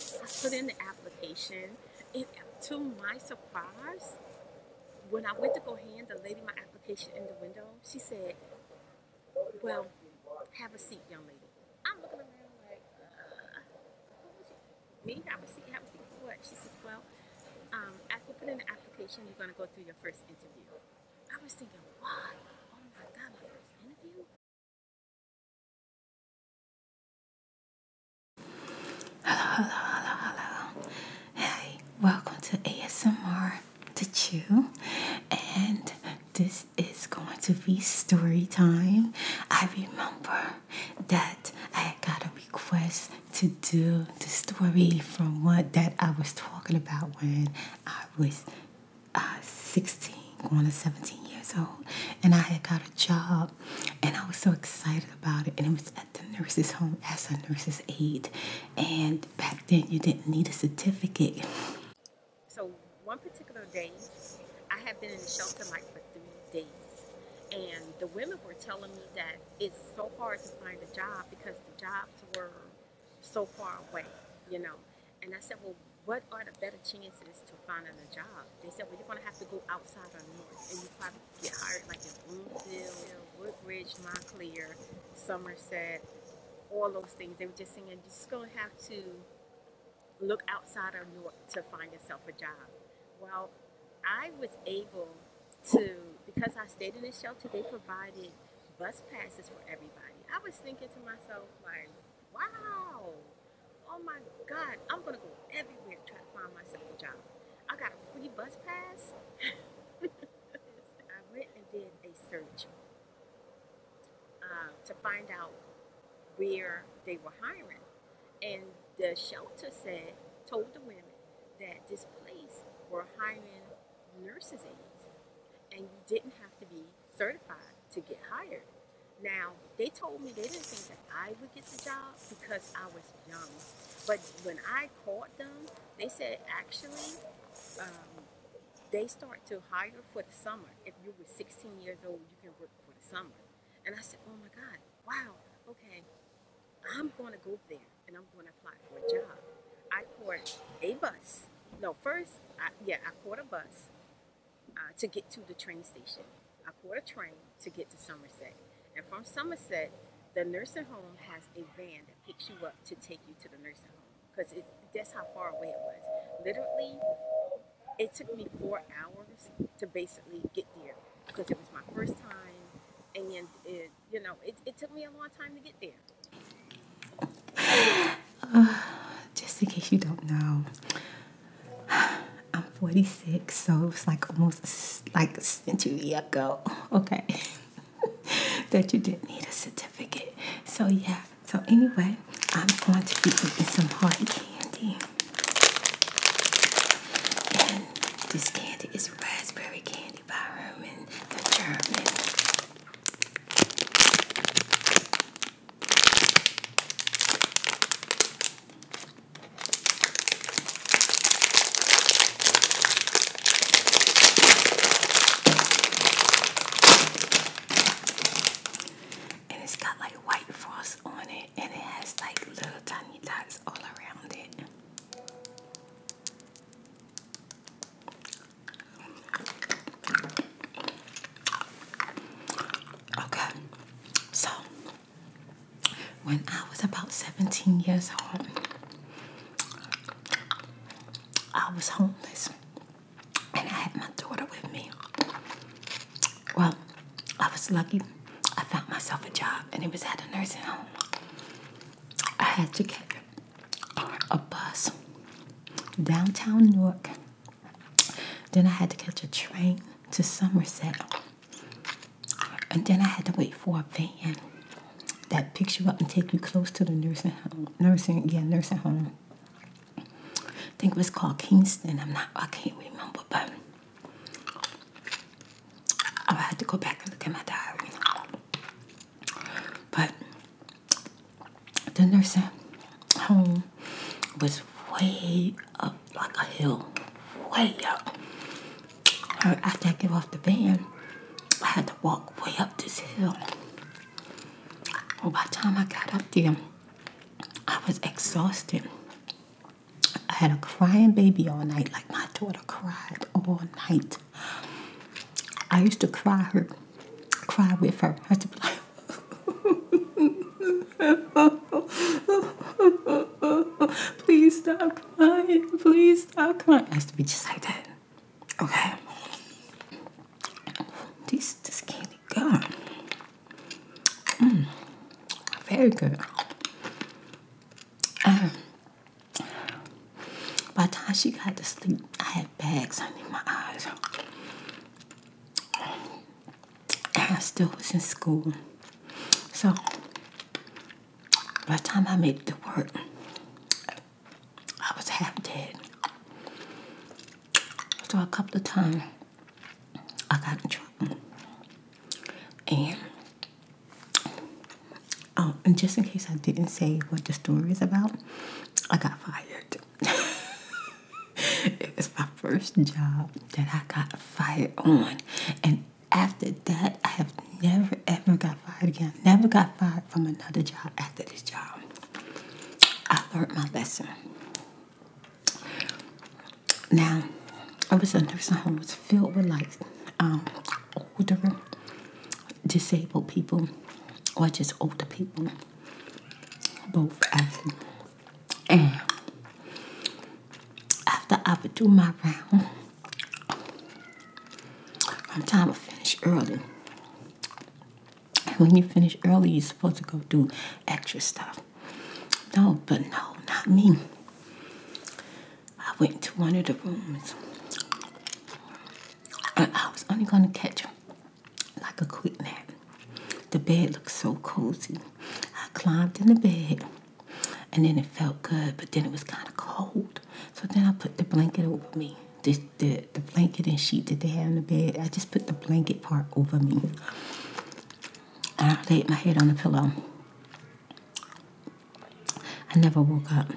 I put in the application, and to my surprise, when I went to go hand the lady my application in the window, she said, "Well, have a seat, young lady." I'm looking around like, uh, "Me? Have a seat? Have a seat what?" She said, "Well, um, after putting the application, you're gonna go through your first interview." I was thinking, "Why? Oh my God, my first interview? Hello, hello, hello, hello. Hey, welcome to ASMR to Chew, and this is going to be story time. I remember that I got a request to do the story from what that I was talking about when I was uh, 16 going to 17 years old, and I had got a job, and I was so excited about it. And it was at the nurse's home as a nurse's aide, and back then you didn't need a certificate. So one particular day, I had been in the shelter like for three days, and the women were telling me that it's so hard to find a job because the jobs were so far away, you know. And I said, well, what are the better chances to find a job? They said, well, you're going to have to go outside of New York, and you probably get hired like in Bloomfield, Woodbridge, Montclair, Somerset, all those things. They were just saying, you're just going to have to look outside of New York to find yourself a job. Well, I was able to, because I stayed in a shelter, they provided bus passes for everybody. I was thinking to myself, why? wow, oh my God, I'm gonna go everywhere to try to find myself a job. I got a free bus pass. I went and did a search uh, to find out where they were hiring. And the shelter said, told the women that this place were hiring nurses aides and you didn't have to be certified to get hired. Now, they told me they didn't think that I would get the job because I was young. But when I called them, they said actually um, they start to hire for the summer. If you were 16 years old, you can work for the summer. And I said, oh my God, wow, okay, I'm going to go there and I'm going to apply for a job. I caught a bus. No, first, yeah, I caught a bus uh, to get to the train station. I caught a train to get to Somerset. And from Somerset, the nursing home has a van that picks you up to take you to the nursing home because that's how far away it was. Literally, it took me four hours to basically get there because it was my first time and you know, it, took me a long time to get there. just in case you don't know, I'm 46, so it's like almost like a century ago, okay, that you didn't need a certificate. So, yeah, so anyway, I'm going to be eating some hard candy. And this candy is raspberry candy by Herman the German. And it's got like white frost on it, and it has like little tiny dots all around it. Okay, so when I was about 17 years old, I was homeless and I had my daughter with me. Well, I was lucky. I found myself a job and it was at a nursing home. I had to get a bus downtown Newark then I had to catch a train to Somerset. And then I had to wait for a van that picks you up and takes you close to the nursing home. Nursing, yeah, nursing home. I think it was called Kingston. I'm not, I can't remember, but I had to go back and look at my diary. But the nursing home was way up like a hill, way up. I, had to get off the van, I had to walk way up this hill. by the time I got up there, I was exhausted. I had a crying baby all night, like my daughter cried all night. I used to cry her, cry with her. I used to Please stop crying. Please stop crying. It has to be just like that. Okay. This this candy good. Mm. very good. Um, by the time she got to sleep, I had bags under my eyes. I still was in school. So by the time I made it to work, I was half dead. So a couple of times I got in trouble. And um, and just in case I didn't say what the story is about, I got fired. it was my first job that I got fired on. And after that, I have never ever got fired again. Never got fired from another job after this job. I learned my lesson. Now, I was a nursing home. It filled with like um, older, disabled people, or just older people, both actually. And eh. after I would do my round, I'm trying to finish early. And when you finish early, you're supposed to go do extra stuff. No, but no, not me. I went to one of the rooms. And I was only going to catch like a quilt nap. The bed looked so cozy. I climbed in the bed and then it felt good, but then it was kind of cold. So then I put the blanket over me. The, the, the blanket and sheet that they had in the bed, I just put the blanket part over me. I laid my head on the pillow. I never woke up.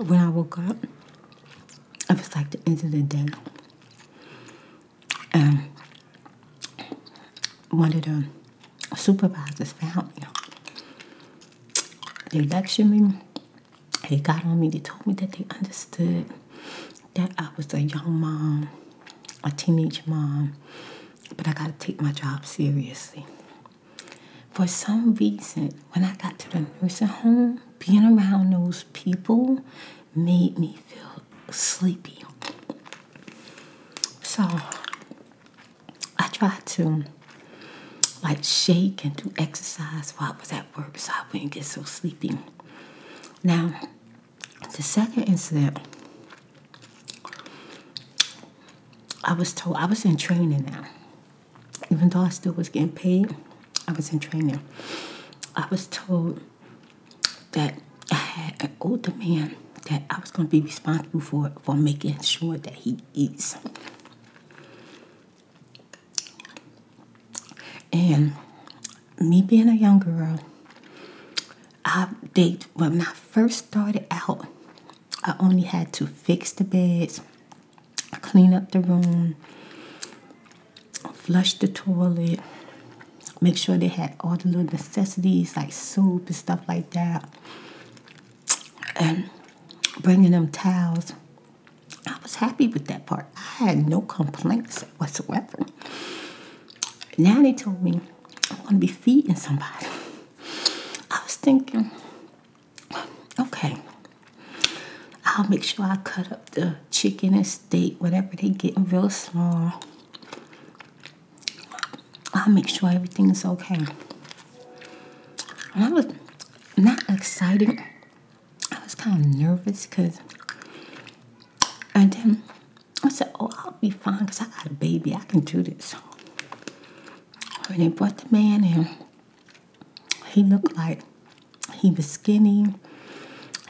When I woke up, it was like the end of the day. And um, one of the supervisors found me. They lectured me. They got on me. They told me that they understood that I was a young mom, a teenage mom, but I got to take my job seriously. For some reason, when I got to the nursing home, being around those people made me feel sleepy. So I tried to like shake and do exercise while I was at work so I wouldn't get so sleepy. Now, the second incident, I was told I was in training now. Even though I still was getting paid, I was in training, I was told that I had an older man that I was going to be responsible for for making sure that he eats. And me being a young girl, I they when I first started out, I only had to fix the beds, clean up the room, flush the toilet, make sure they had all the little necessities like soup and stuff like that, and bringing them towels. I was happy with that part. I had no complaints whatsoever. Now they told me I'm going to be feeding somebody. I was thinking, okay, I'll make sure I cut up the chicken and steak, whatever they get, real small. I'll make sure everything's okay. And I was not excited. I was kind of nervous because, and then I said, "Oh, I'll be fine 'cause I got a baby. I can do this." When they brought the man in, he looked like he was skinny.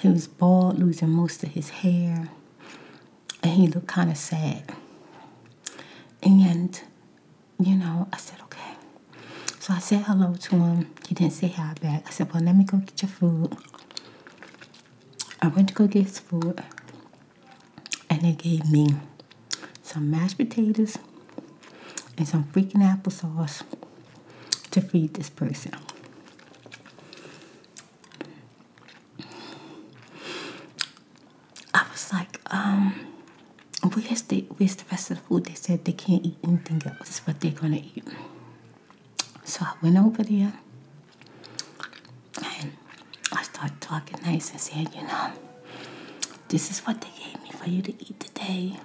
He was bald, losing most of his hair. And he looked kind of sad. And, you know, I said, okay. So I said hello to him. He didn't say hi back. I said, well, let me go get your food. I went to go get his food. And they gave me some mashed potatoes and some freaking applesauce to feed this person. I was like, um, where's the, where's the rest of the food? They said they can't eat anything else. This is what they're going to eat. So I went over there and I started talking nice and said, you know, this is what they gave me for you to eat today.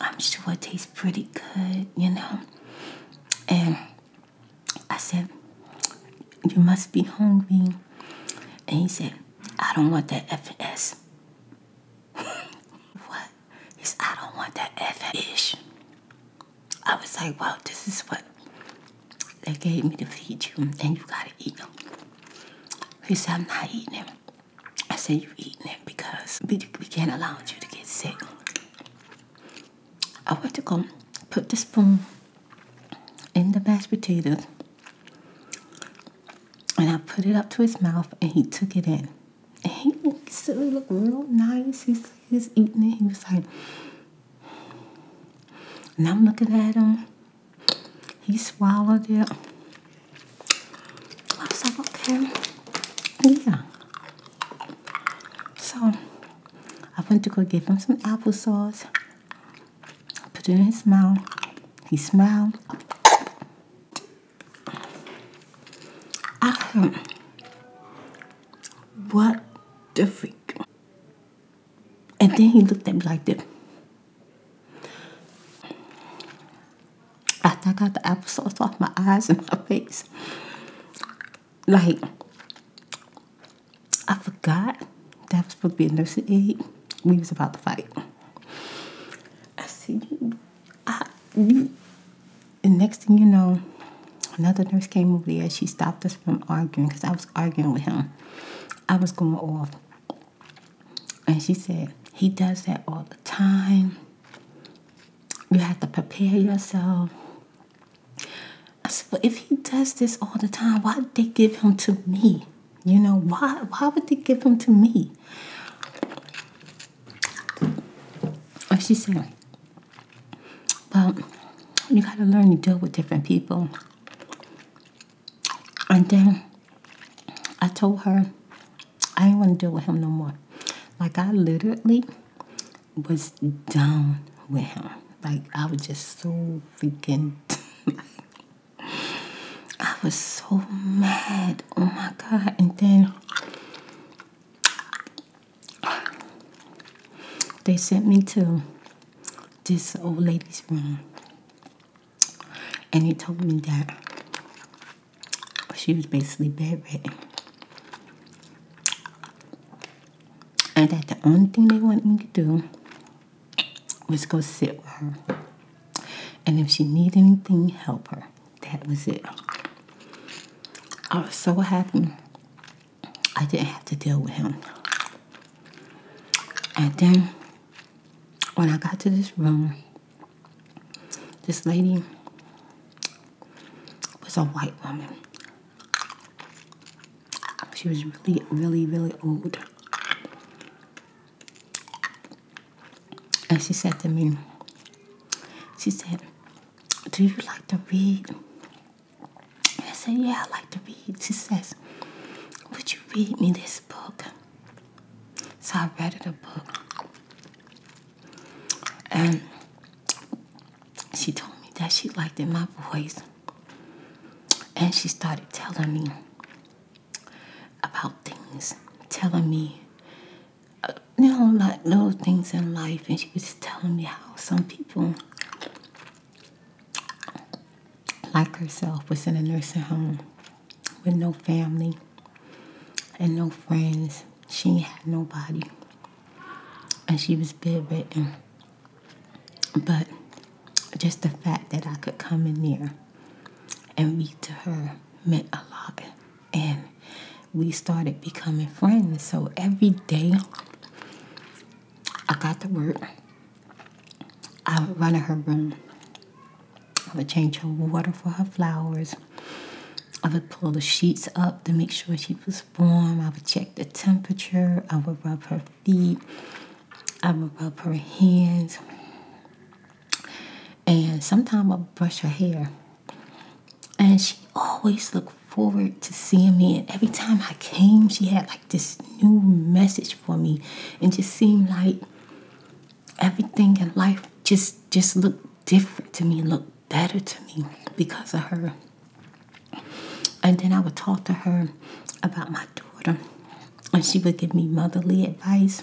I'm sure it tastes pretty good, you know. And I said, You must be hungry. And he said, I don't want that FS. what? He said, I don't want that FS. I was like, Wow, this is what they gave me to feed you, and you gotta eat them. He said, I'm not eating them. I said, you eating it because we, we can't allow you to get sick. I went to go put the spoon in the mashed potatoes and I put it up to his mouth and he took it in. And he still looked real nice. He's, he's eating it. He was like, and I'm looking at him. He swallowed it okay, yeah. So I went to go give him some applesauce, put it in his mouth. He smiled. I what the freak? And then he looked at me like this. I think I got the sauce off my eyes and my face. Like, I forgot that was supposed to be a nursing aid. We was about to fight. I see you. I, you. And next thing you know, another nurse came over there. She stopped us from arguing because I was arguing with him. I was going off. And she said, He does that all the time. You have to prepare yourself. I said, Well, if he does this all the time, why did they give him to me? You know, why why would they give him to me? And she said, Well, you gotta learn to deal with different people. And then I told her, I didn't want to deal with him no more. Like I literally was done with him. Like I was just so freaking I was so mad. Oh my god. And then they sent me to this old lady's room. And he told me that she was basically bedridden. And that the only thing they wanted me to do was go sit with her. And if she needed anything, help her. That was it. I was so happy I didn't have to deal with him. And then when I got to this room, this lady was a white woman. She was really, really, really old. And she said to me, she said, Do you like to read? I said, Yeah, I like to read. She says, Would you read me this book? So I read the book. And she told me that she liked in my voice. And she started telling me about things, telling me, uh, you know, like little things in life. And she was telling me how some people, like herself, was in a nursing home with no family and no friends. She had nobody. And she was bitter. But just the fact that I could come in there and be to her meant a lot. And we started becoming friends. So every day I got to work, I would run to her room I would change her water for her flowers. I would pull the sheets up to make sure she was warm. I would check the temperature. I would rub her feet. I would rub her hands. And sometimes I would brush her hair. And she always looked forward to seeing me. And every time I came, she had like this new message for me. And just seemed like everything in life just just looked different to me, looked better to me because of her. And then I would talk to her about my daughter, and she would give me motherly advice.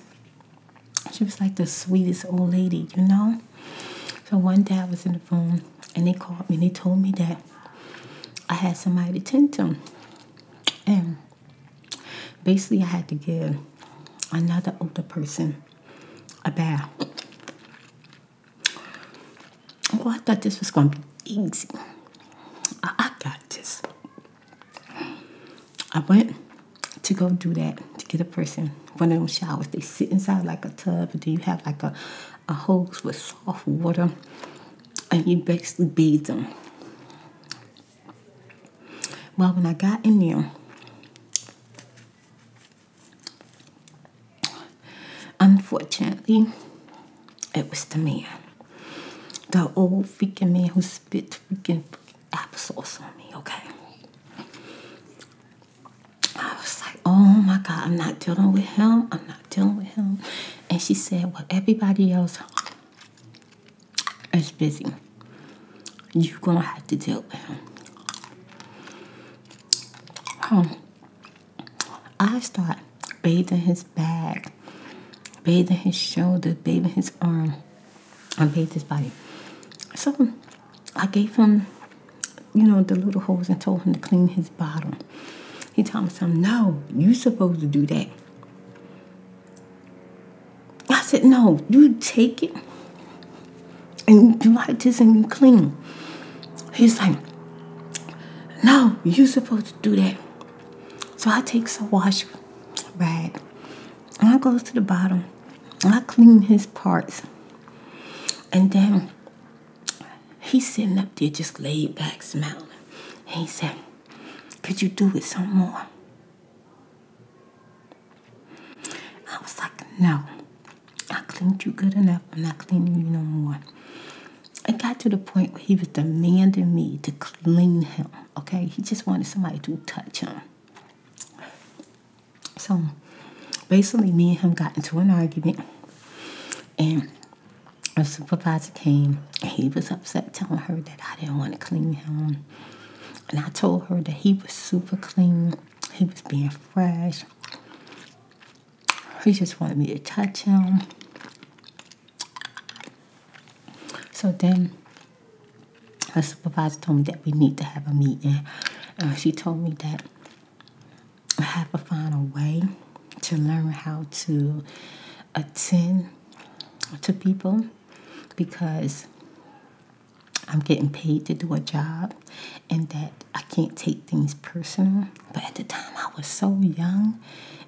She was like the sweetest old lady, you know. So one day I was in the phone, and they called me. and They told me that I had somebody to tend to, and basically I had to give another older person a bath. Oh, I thought this was going to be easy. I, got this. I went to go do that to get a person one of them showers. They sit inside like a tub, and then you have like a, a hose with soft water, and you basically bathe them. Well, when I got in there, unfortunately, it was the man. The old freaking man who spit freaking applesauce on me, okay? I was like, oh my God, I'm not dealing with him. I'm not dealing with him. And she said, well, everybody else it's busy. You're gonna have to deal with him. I start bathing his back, bathing his shoulder, bathing his arm, and bathing his body. So I gave him, you know, the little hose and told him to clean his bottom. He told me something, no, you supposed to do that. I said, no, you take it and you do like this and you clean. He's like, no, you supposed to do that. So I take some wash rag and I goes to the bottom I clean his parts. And then he's sitting up there just laid back smiling. And he said, could you do it some more? I was like, no, I cleaned you good enough. I'm not cleaning you no more. It got to the point where he was demanding me to clean him. Okay, he just wanted somebody to touch him. So basically, me and him got into an argument, and the supervisor came. he was upset, telling her that I didn't want to clean him. And I told her that he was super clean, he was being fresh. He just wanted me to touch him. So then her supervisor told me that we need to have a meeting. Uh, she told me that I have to find a way to learn how to attend to people because I'm getting paid to do a job and that I can't take things personal. But at the time I was so young,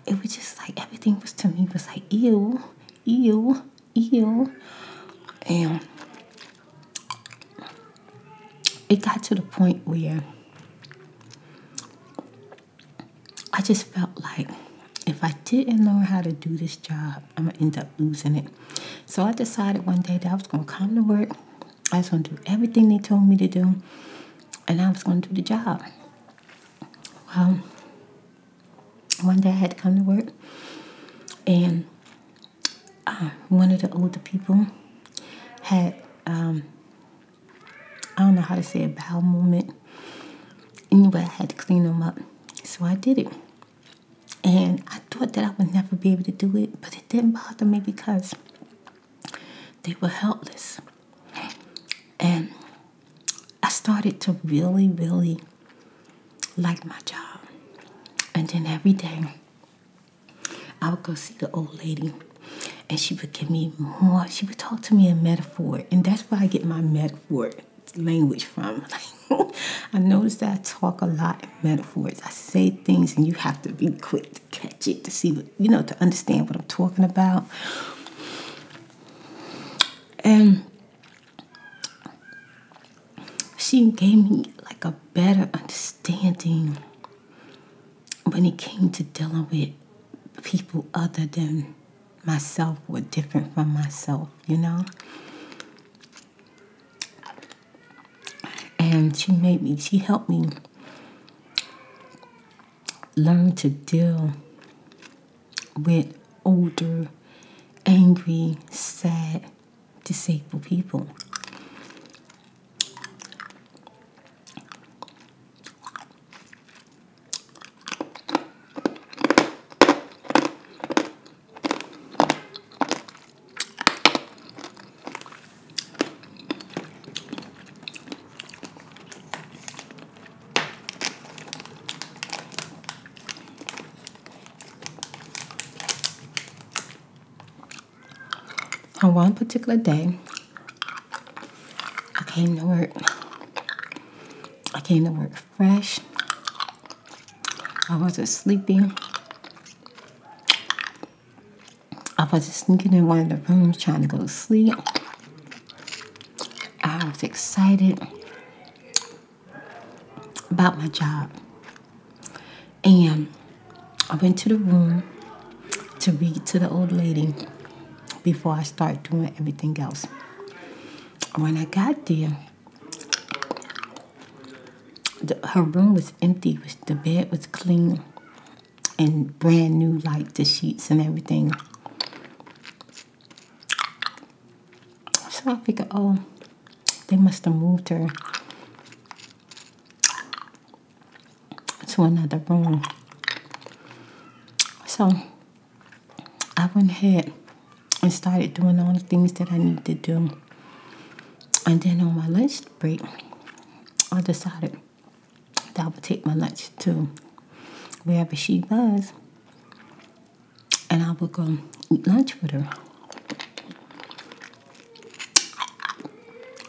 it was just like everything was to me was like ew, ew, ew. And it got to the point where I just felt like if I didn't learn how to do this job, I'm gonna end up losing it. So I decided one day that I was gonna come to work. I was gonna do everything they told me to do, and I was gonna do the job. Well, one day I had to come to work, and uh, one of the older people had um, I don't know how to say a bowel movement. Anyway, I had to clean them up. So I did it. And I thought that I would never be able to do it, but it didn't bother me because they were helpless. And I started to really, really like my job. And then every day, I would go see the old lady and she would give me more. She would talk to me in metaphor. And that's where I get my metaphor language from. I notice that I talk a lot in metaphors. I say things and you have to be quick to catch it to see what you know to understand what I'm talking about. And she gave me like a better understanding when it came to dealing with people other than myself was different from myself, you know? And she made me, she helped me learn to deal with older, angry, sad, disabled people. On one particular day, I came to work. I came to work fresh. I wasn't sleepy. I was sneaking in one of the rooms trying to go to sleep. I was excited about my job. And I went to the room to read to the old lady before I start doing everything else. When I got there, her room was empty. The bed was clean and brand new, like the sheets and everything. So I figured, oh, they must have moved her to another room. So I went ahead and started doing all the things that I needed to do. And then on my lunch break, I decided that I would take my lunch to wherever she was and I would go eat lunch with her.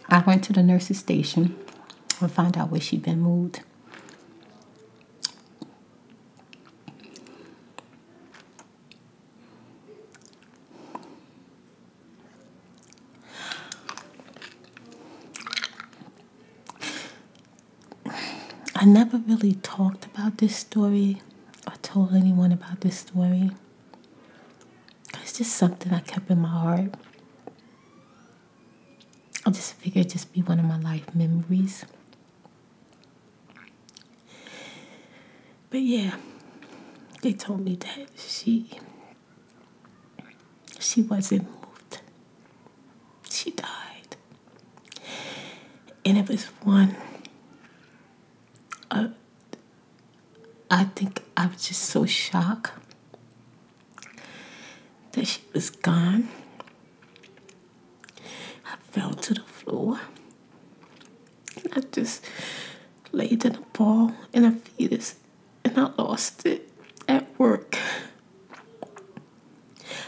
I went to the nurse's station and found out where she'd been moved. I never really talked about this story or told anyone about this story. It's just something I kept in my heart. I just figured it'd just be one of my life memories. But yeah, they told me that she she wasn't moved. She died. And it was one uh, I think I was just so shocked that she was gone. I fell to the floor. And I just laid in a ball in a fetus and I lost it at work.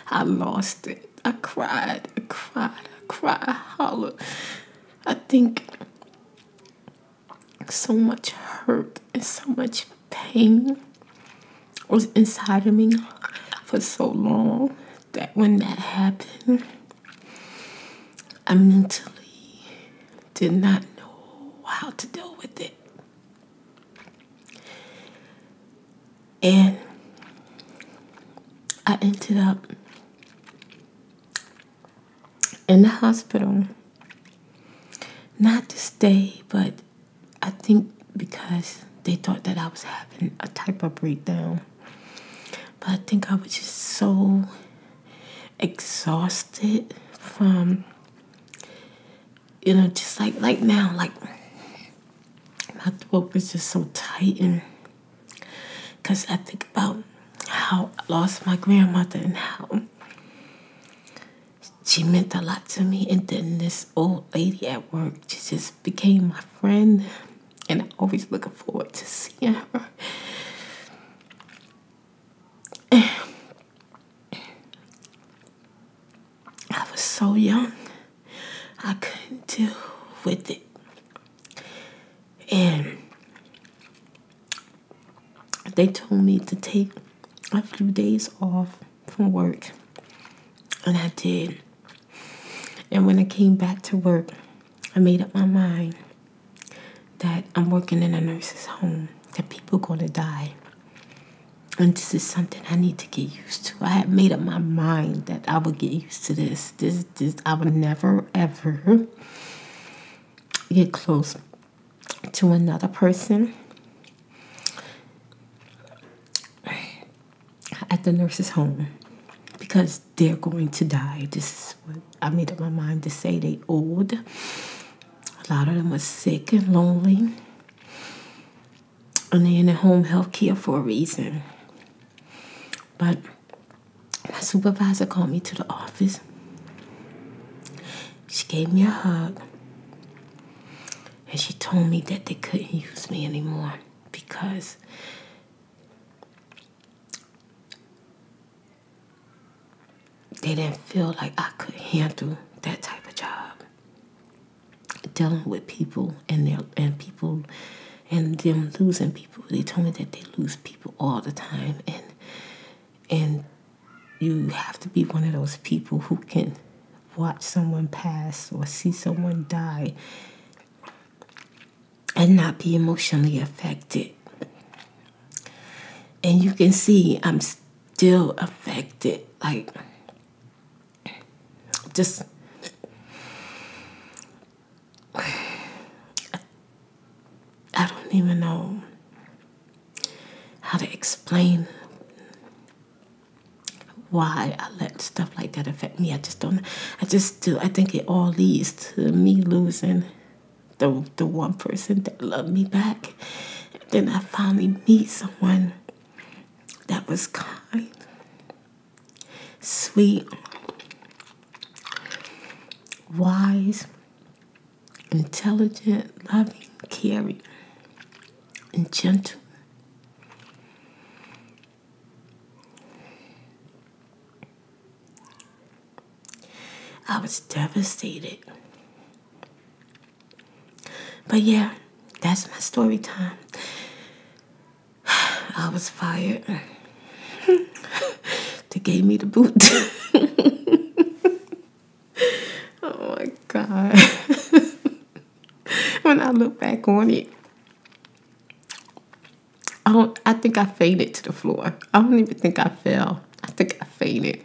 I lost it. I cried, I cried, I cried, I hollered. I think so much hurt and so much pain was inside of me for so long that when that happened, I mentally did not know how to deal with it. And I ended up in the hospital, not to stay, but I think because they thought that I was having a type of breakdown. But I think I was just so exhausted from you know, just like like now, like my throat was just so tight and because I think about how I lost my grandmother and how she meant a lot to me and then this old lady at work she just became my friend, and always looking forward to seeing her. I was so young, I couldn't deal with it. And they told me to take a few days off from work. And I did. And when I came back to work, I made up my mind that I'm working in a nurse's home, that people are going to die. And this is something I need to get used to. I had made up my mind that I would get used to this. This, this, I would never, ever get close to another person at the nurse's home because they're going to die. This is what I made up my mind to say they old. A lot of them are sick and lonely. And they're in the home health care for a reason. But my supervisor called me to the office. She gave me a hug and she told me that they couldn't use me anymore because they didn't feel like I could handle that type of job. Dealing with people and their and people and them losing people. They told me that they lose people all the time and and you have to be one of those people who can watch someone pass or see someone die and not be emotionally affected. And you can see I'm still affected. Like, just I don't even know how to explain why I let stuff like that affect me. I just don't. I just do. I think it all leads to me losing the the one person that loved me back. then I finally meet someone that was kind, sweet, wise, intelligent, loving, caring, and gentle. I was devastated. But yeah, that's my story time. I was fired. they gave me the boot. oh my God. when I look back on it. I don't I think I faded to the floor. I don't even think I fell. I think I faded.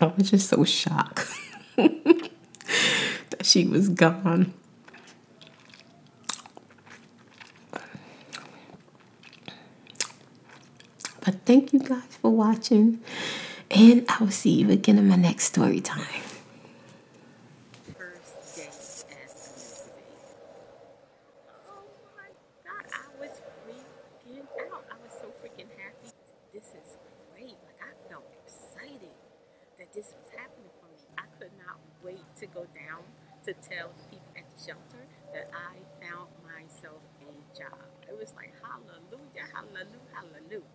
I was just so shocked that she was gone. But thank you guys for watching. And I will see you again in my next story time first day at university. Oh my God, I was freaking out. I was so freaking happy. This is great. Like, I felt excited that this was happening for me. I could not wait to go down to tell the people at the shelter that I found myself a job. It was like, hallelujah, hallelujah, hallelujah.